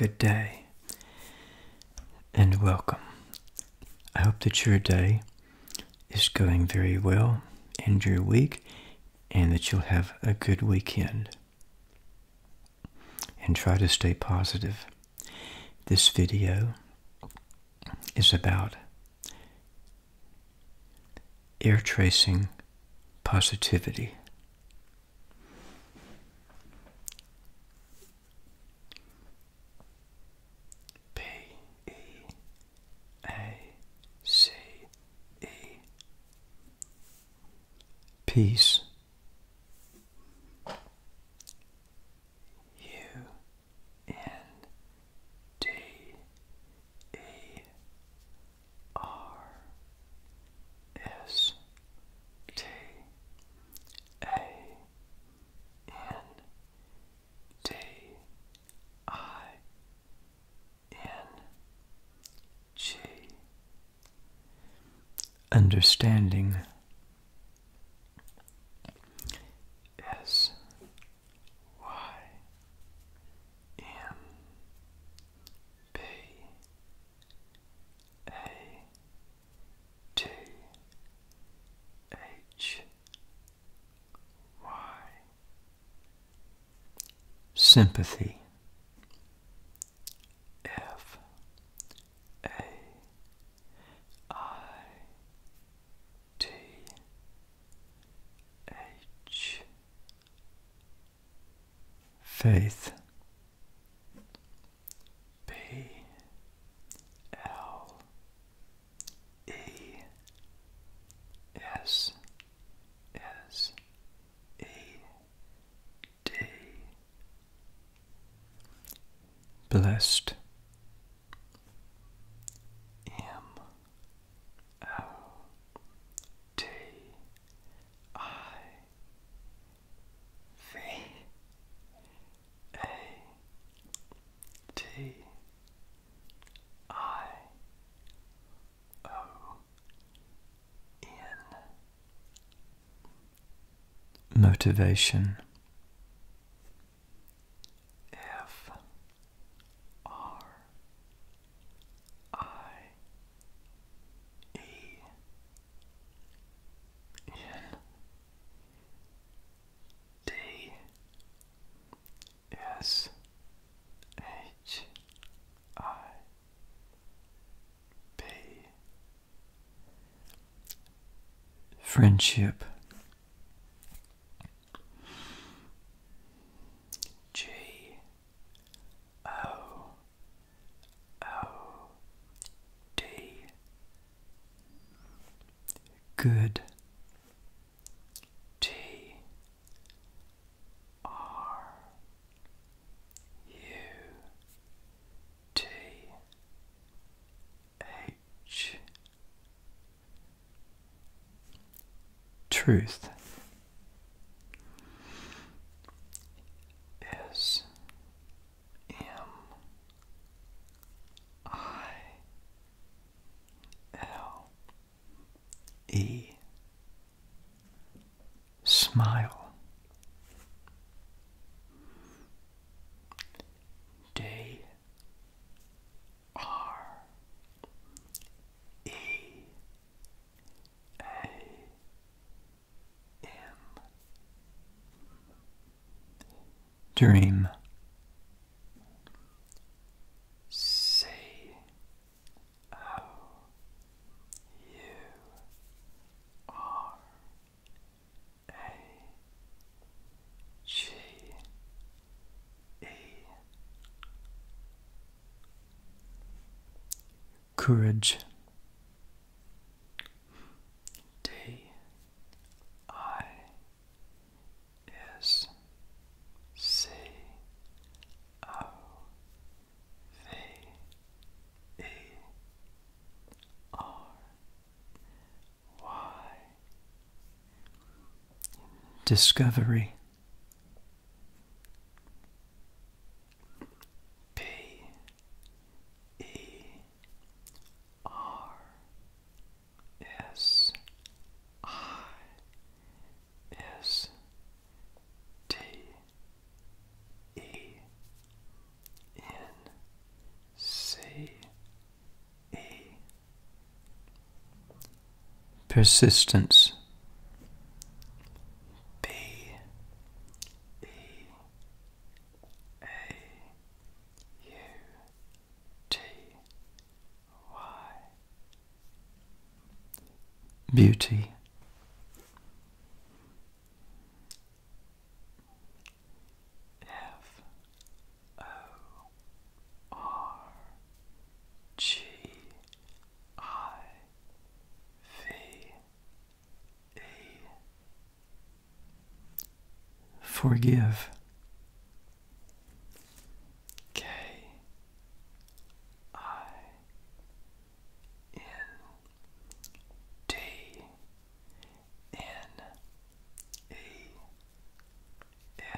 Good day and welcome. I hope that your day is going very well and your week, and that you'll have a good weekend. And try to stay positive. This video is about Air tracing positivity. P E A C E Peace. U N D E R S T A N D I N G Understanding S Y M B A T H Y Sympathy F A I T H Faith P L E S S E D Blessed M O T I V A T I O N Motivation F R I E N D S H I B Friendship G O O D Good T R U T H. Truth is M I L E Smile they are E A M Dream C O U R a G E Courage D I S C O V A R Y Discovery P E R S I S T E N C E Persistence B E A U T Y beauty. F O R G I V E Forgive K I N T N E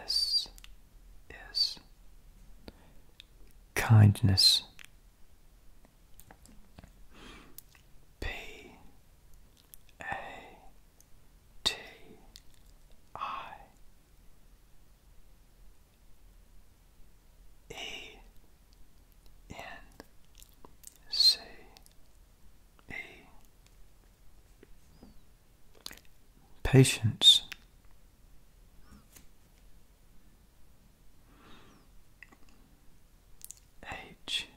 S S kindness P A T I E N C E Patience H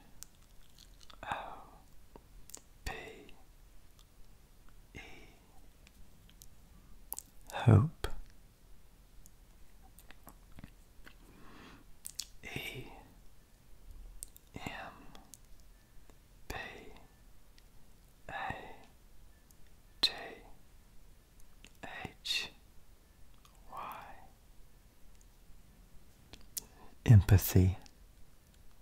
O P hope, a m b a t h y empathy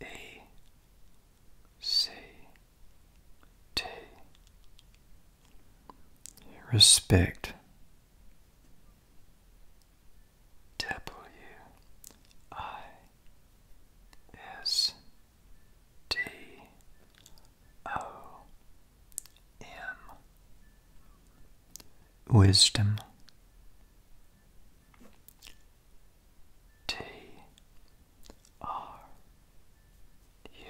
E C T Respect W I S D O M Wisdom T R U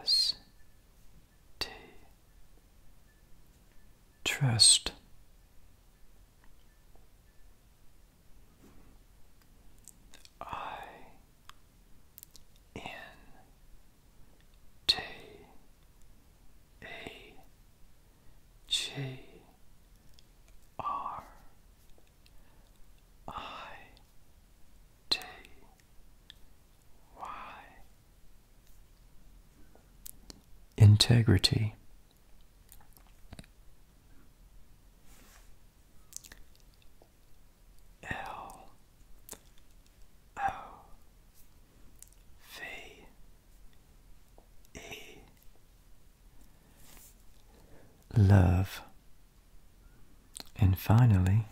S T Trust I N T a J R I T Y Integrity L O V et love. And finally,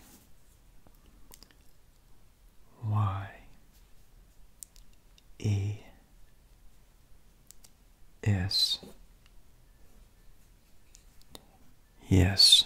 Y E S. Yes.